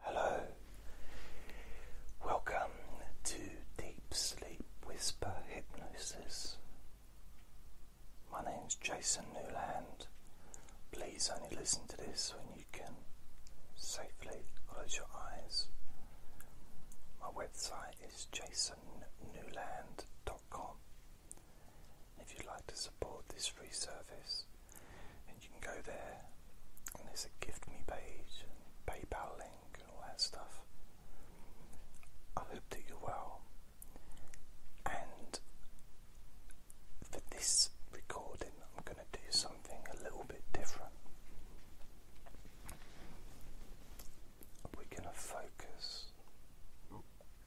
Hello, welcome to Deep Sleep Whisper Hypnosis. My name is Jason Newland. Please only listen to this when you can safely close your eyes. My website is jasonnewland.com. If you'd like to support this free service, and you can go there and there's a gift me page and PayPal link and all that stuff. I hope that you're well. And for this recording, I'm going to do something a little bit different. We're going to focus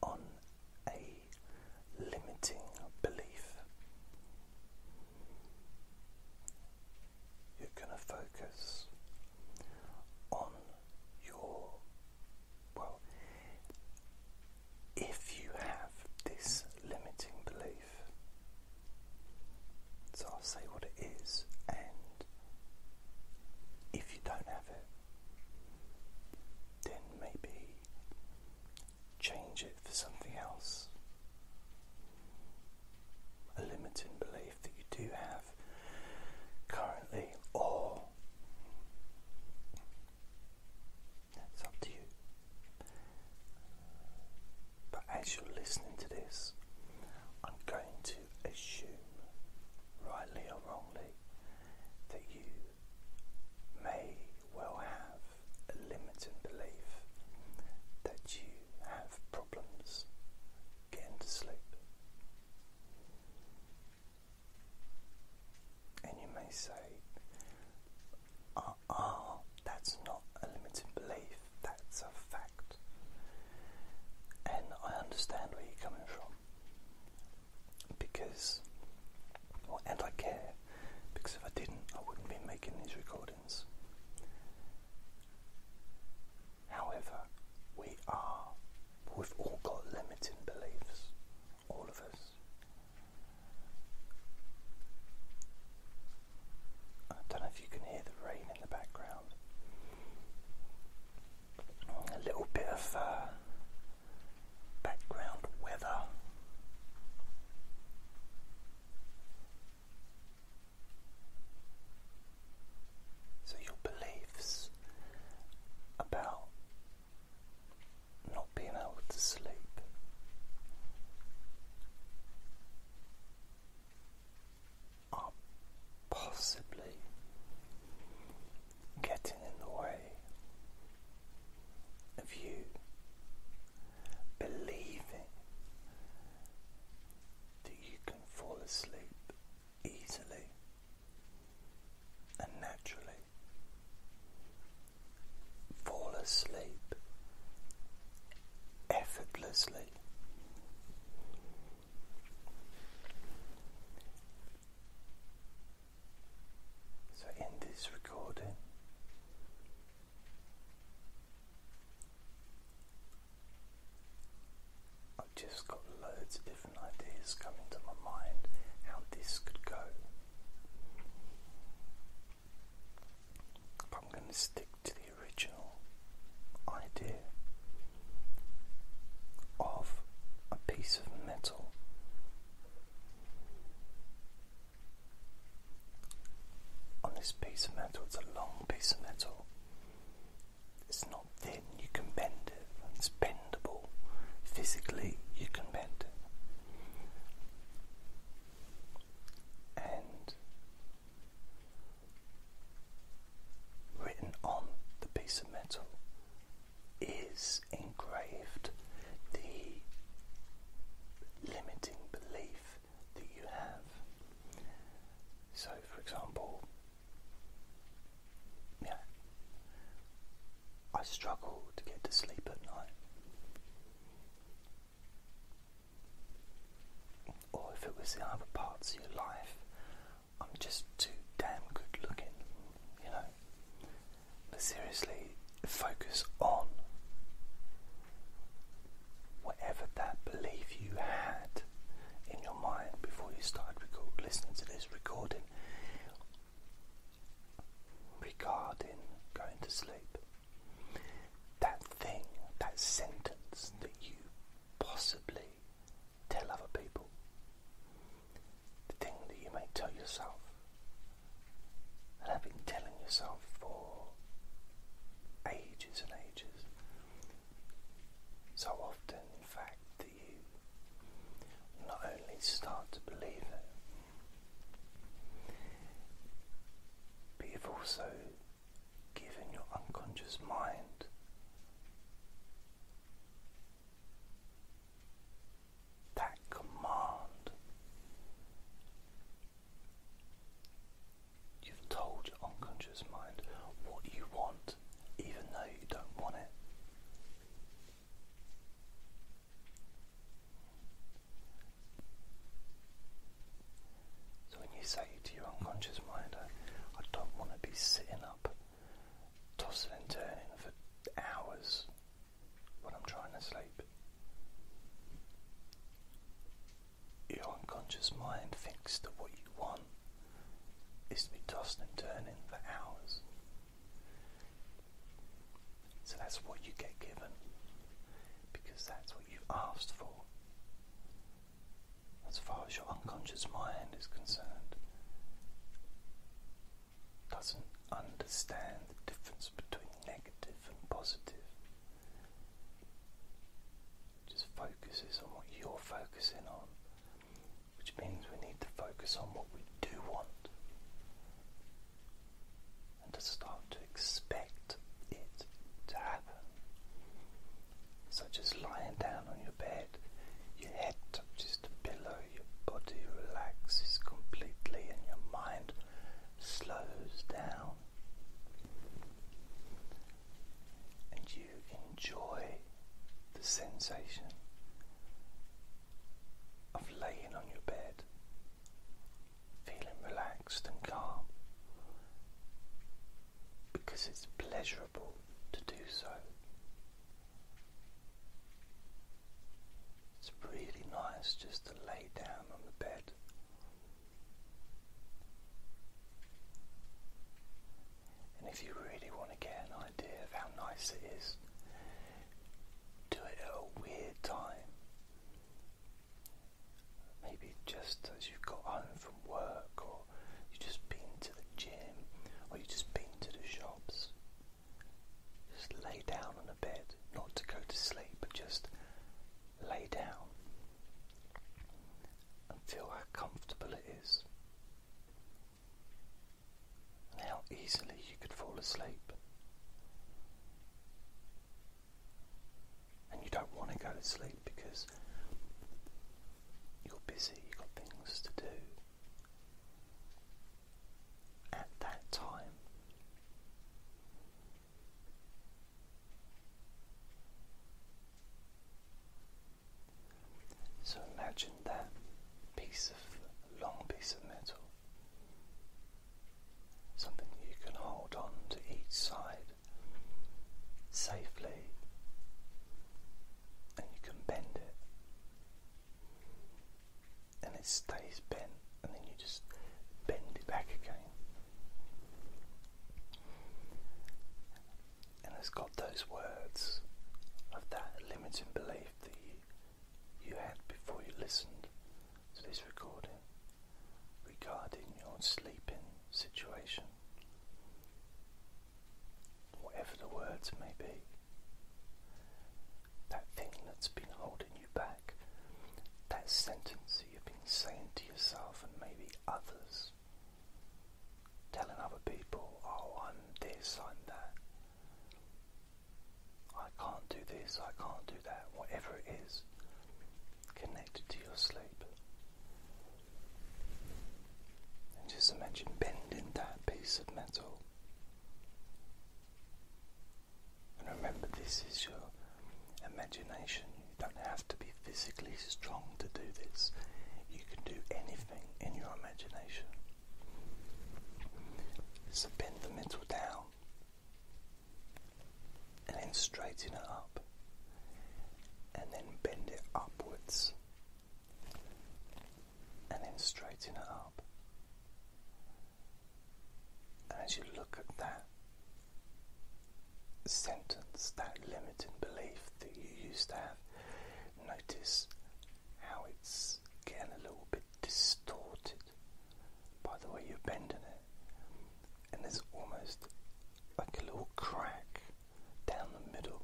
on a limiting belief. You're going to focus on your. Well, if you have this limiting belief, so I'll say what it is, and if you don't have it, then maybe change it for something else. A limiting belief that you do have currently, or it's up to you. But as you're listening to this, I'm going to assume, rightly or wrongly, that you may well have a limiting belief that you have problems getting to sleep. And you may say, ah, that's not a limiting belief, that's a fact. And I understand where you're coming from because, and I care because if I didn't, I wouldn't be making these recordings. However, we are, we've all got limiting beliefs, all of us. I don't know if you can hear the rain in the background. A little bit of uh, background weather. So, your beliefs about not being able to sleep are possibly getting in the way of you believing that you can fall asleep easily and naturally. Fall asleep effortlessly. So, in this recording, I've just got loads of different ideas coming to my mind how this could go. I'm going to stick to the original idea of a piece of metal on this piece of metal. It's a long piece of metal. It's not thin, you can bend it. It's bendable. Physically, you can bend it. And written on the piece of metal is engraved the limiting belief that you have. So, for example, yeah, I struggle to get to sleep at night. Or if it was the other parts of your life, I'm just too damn good looking, you know. But seriously, focus on whatever that belief you had in your mind before you started listening to this recording regarding going to sleep. That thing, that sentence that you possibly tell other people, the thing that you may tell yourself, that have been telling yourself for ages and ages. So often, in fact, that you not only start to believe it, but you've also given your unconscious mind that command You've told your unconscious mind what you want, even though you don't want it. So, when you say to your unconscious mind, I don't want to be sitting up, tossing and turning for hours when I'm trying to sleep. Your unconscious mind thinks that what you want is to be tossed and turning for hours. So that's what you get given because that's what you've asked for. As far as your unconscious mind is concerned, doesn't understand the difference between negative and positive. Just focuses on what you're focusing on, which means we need to focus on what we do want and to start to expect it to happen. Such as lying down on your bed, your head touches the pillow, your body relaxes completely, and your mind slows down and you enjoy the sensation of laying on your bed, feeling relaxed and calm because it's pleasurable to do so. It's really nice just to lay down on the bed. And if you really want to get an idea of how nice it is, do it at a weird time. Maybe just as you've got home from work, or you've just been to the gym, or you've just been to the shops. Just lay down on a bed not to go to sleep, but just lay down and feel how comfortable it is and how easily you could fall asleep. And you don't want to go to sleep because you're busy, you've got things to do. At that time, so imagine that piece of long piece of metal, something you can hold on to each side safely, and you can bend it and it stays bent, and then you just bend it back again. And it's got those words of that limiting belief that you, you had before you listened to this recording regarding your sleeping situation, whatever the words may be that thing that's been holding you back, that sentence that you've been saying to yourself and maybe others, telling other people, oh, I'm this, I'm that, I can't do this, I can't do that, whatever it is, connected to your sleep. And just imagine bending that piece of metal and remember, this is your imagination. You don't have to be physically strong to do this. You can do anything in your imagination. bend the middle down and then straighten it up and then bend it upwards and then straighten it up as you look at that sentence, that limiting belief that you used to have, notice how it's getting a little bit distorted by the way you're bending it. And there's almost like a little crack down the middle.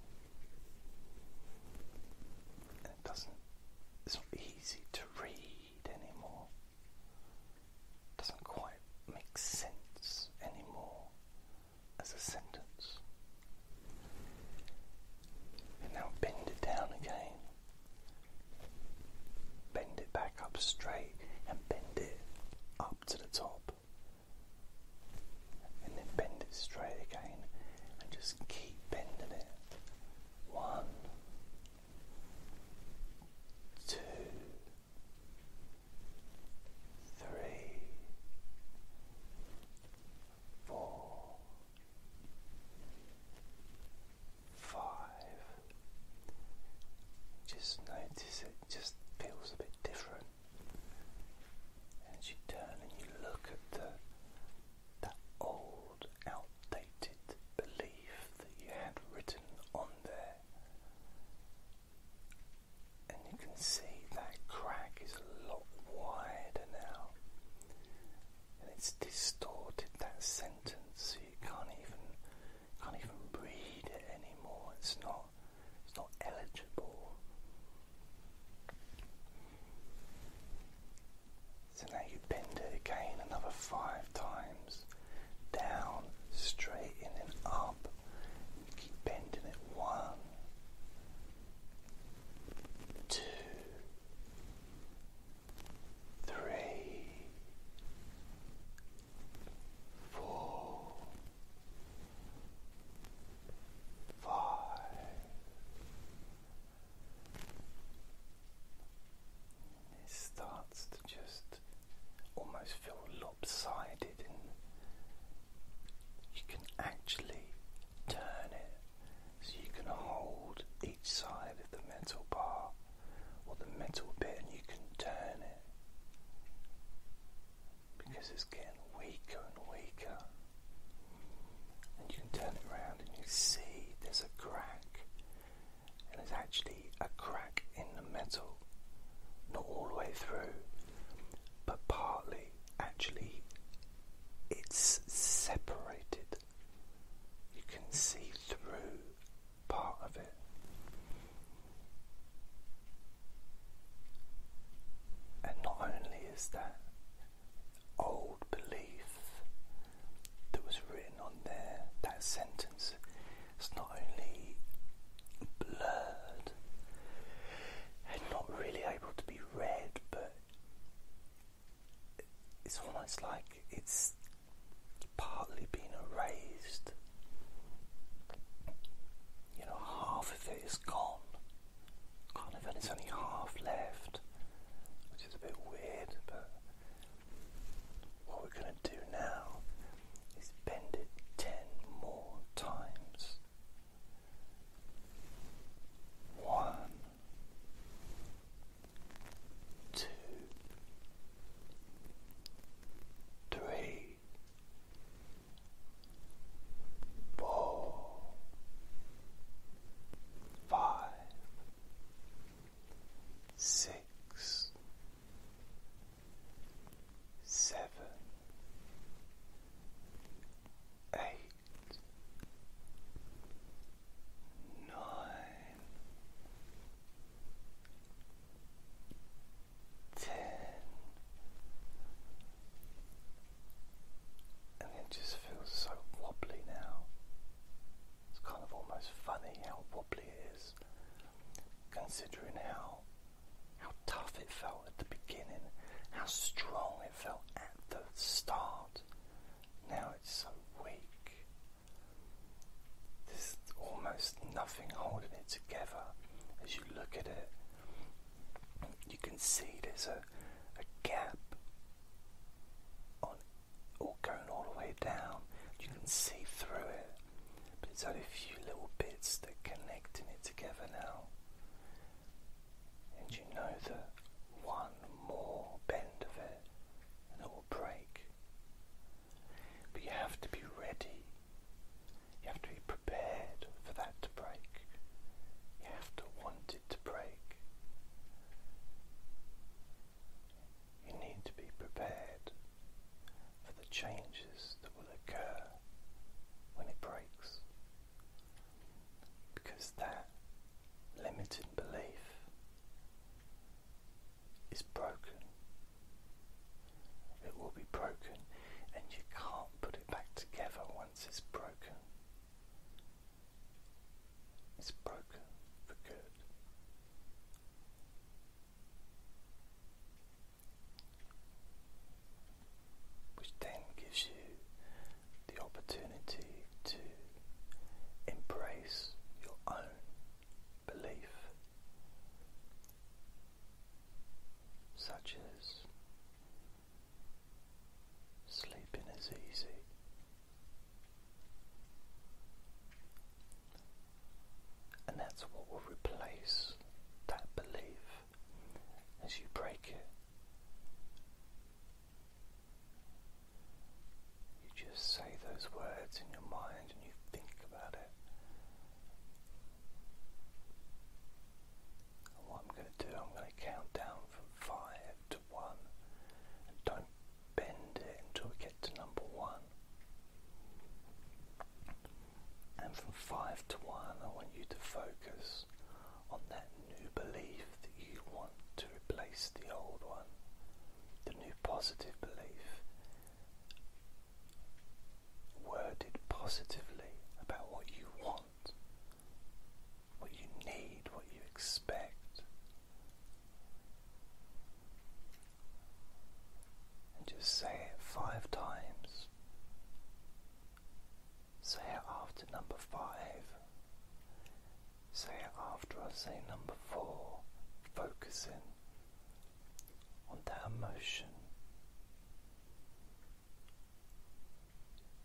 And it doesn't, it's not easy to read anymore. Doesn't quite make sense anymore as a sentence. now bend it down again. Bend it back up straight and bend it up to the top. And then bend it straight again and just keep bending it. One, two, three, four, five. Just notice it just feels a bit different. And you turn and you look at the that old outline updated belief that you had written on there. And you can see that crack is a lot wider now. And it's distorted that sentence so you can't even can't even read it anymore. It's not it's not eligible. So now you bend it again another five times. Down, straight in and up. Keep bending it. One, two, three, four, five it starts to just almost feel lopsided, and you can actually turn it so you can hold each side of the metal bar or the metal bit, and you can turn it because it's getting weaker and weaker. And you can turn it around and you see there's a crack and there's actually a crack in the metal, not all the way through, but partly actually it's separated. You can see through part of it. And not only is that old belief that was written on there, that sentence, it's not only blurred and not really able to be read, but it's almost like it's partly been erased. You know, half of it is gone. Kind of, and it's only half left, which is a bit weird, but what we're going to do now is bend it ten more times. One, two, three, four, five six, seven, eight, nine, ten, and it just feels so wobbly now. It's kind of almost funny how wobbly it is, considering how how tough it felt at the beginning, how strong it felt at the start. Now it's so weak. There's almost nothing holding it together as you look at it. You can see there's a, a gap on all going all the way down. You can see through it, but it's only a few little bits that are connecting it together now. And you know that one more bend of it and it will break. But you have to be ready. You have to be prepared for that to break. You have to want it to break you need to be prepared for the changes that will occur when it breaks. Because that limiting belief is broken. It will be broken, and you can't put it back together once it's broken. It's broken for good. Which then gives you the opportunity to embrace your own belief, such as sleeping is easy. And that's what will replace that belief as you break it. You just say those words in your mind and you think about it. And what I'm going to do, I'm going to count down from five to one. don't bend it until we get to number one. And from five to one, I want you to focus on that new belief that you want to replace the old one, the new positive belief, worded positively about what you want, what you need, what you expect, just say it five times. Say it after number five. Say it after I say number four, focusing on that emotion.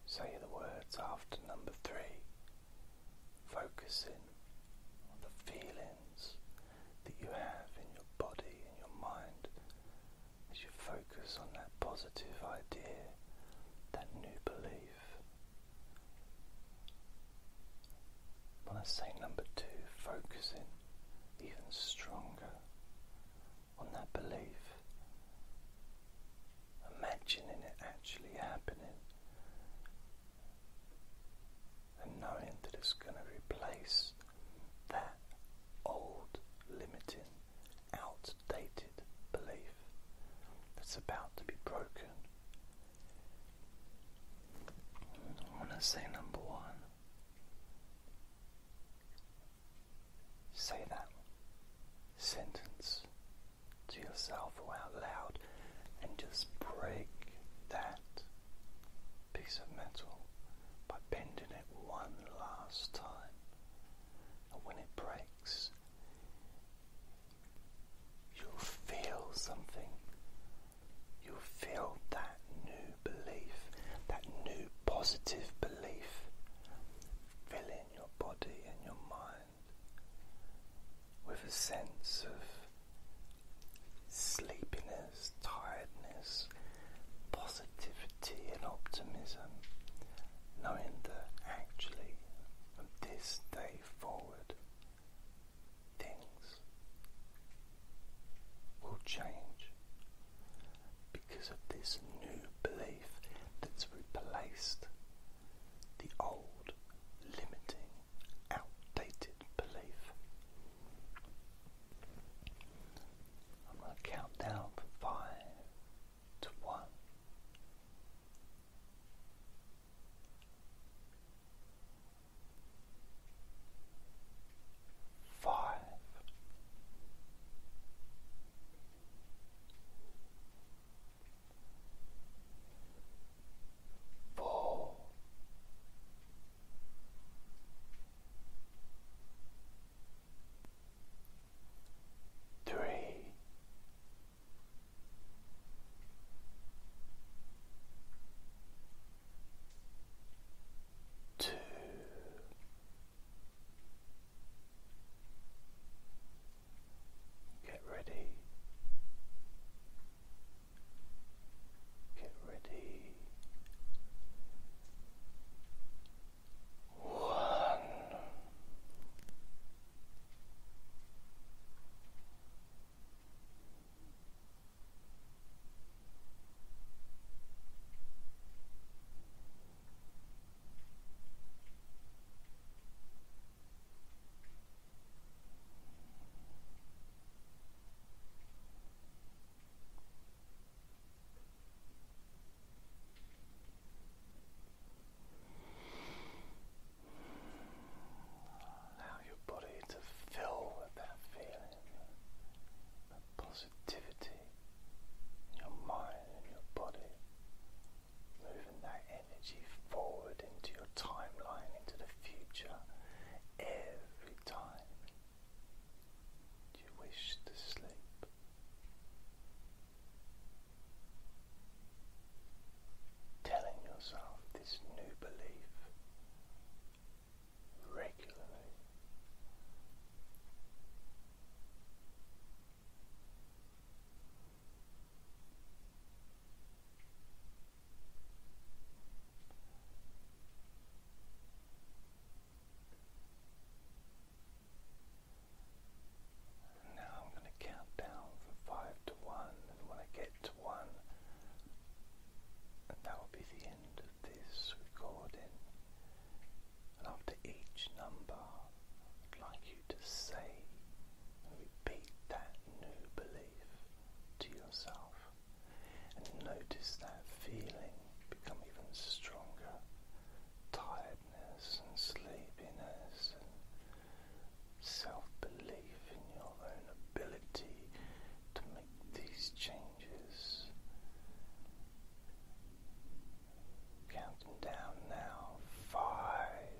Say the words after number three focusing on the feelings that you have in your body and your mind as you focus on that positive idea, that new belief. When I say number two, focusing even stronger on that belief, imagining it actually happening and knowing that it's going to replace that old, limiting, outdated belief that's about to be broken. When I say number one, say that sentence to yourself or out loud and just break that piece of metal by bending it one last time. And when it breaks, you'll feel something. You'll feel that new belief, that new positive belief, filling your body and your mind with a sense of sleepiness, tiredness, positivity, and optimism, knowing that actually from this day forward things will change because of this new belief that's replaced the old limiting outdated belief. I'm going to count down from five to one. Five, four, three, two. Get ready. Get ready. One. Allow your body to fill with that feeling, that positivity in your mind and your body moving that energy forward into your timeline, into the future, every time you wish to sleep. Telling yourself this new belief regularly. Now I'm going to count down from five to one, and when I get to one, and that will be the end of this recording. And after each number, like you to say and repeat that new belief to yourself. And notice that feeling become even stronger tiredness and sleepiness and self belief in your own ability to make these changes. Counting down now five.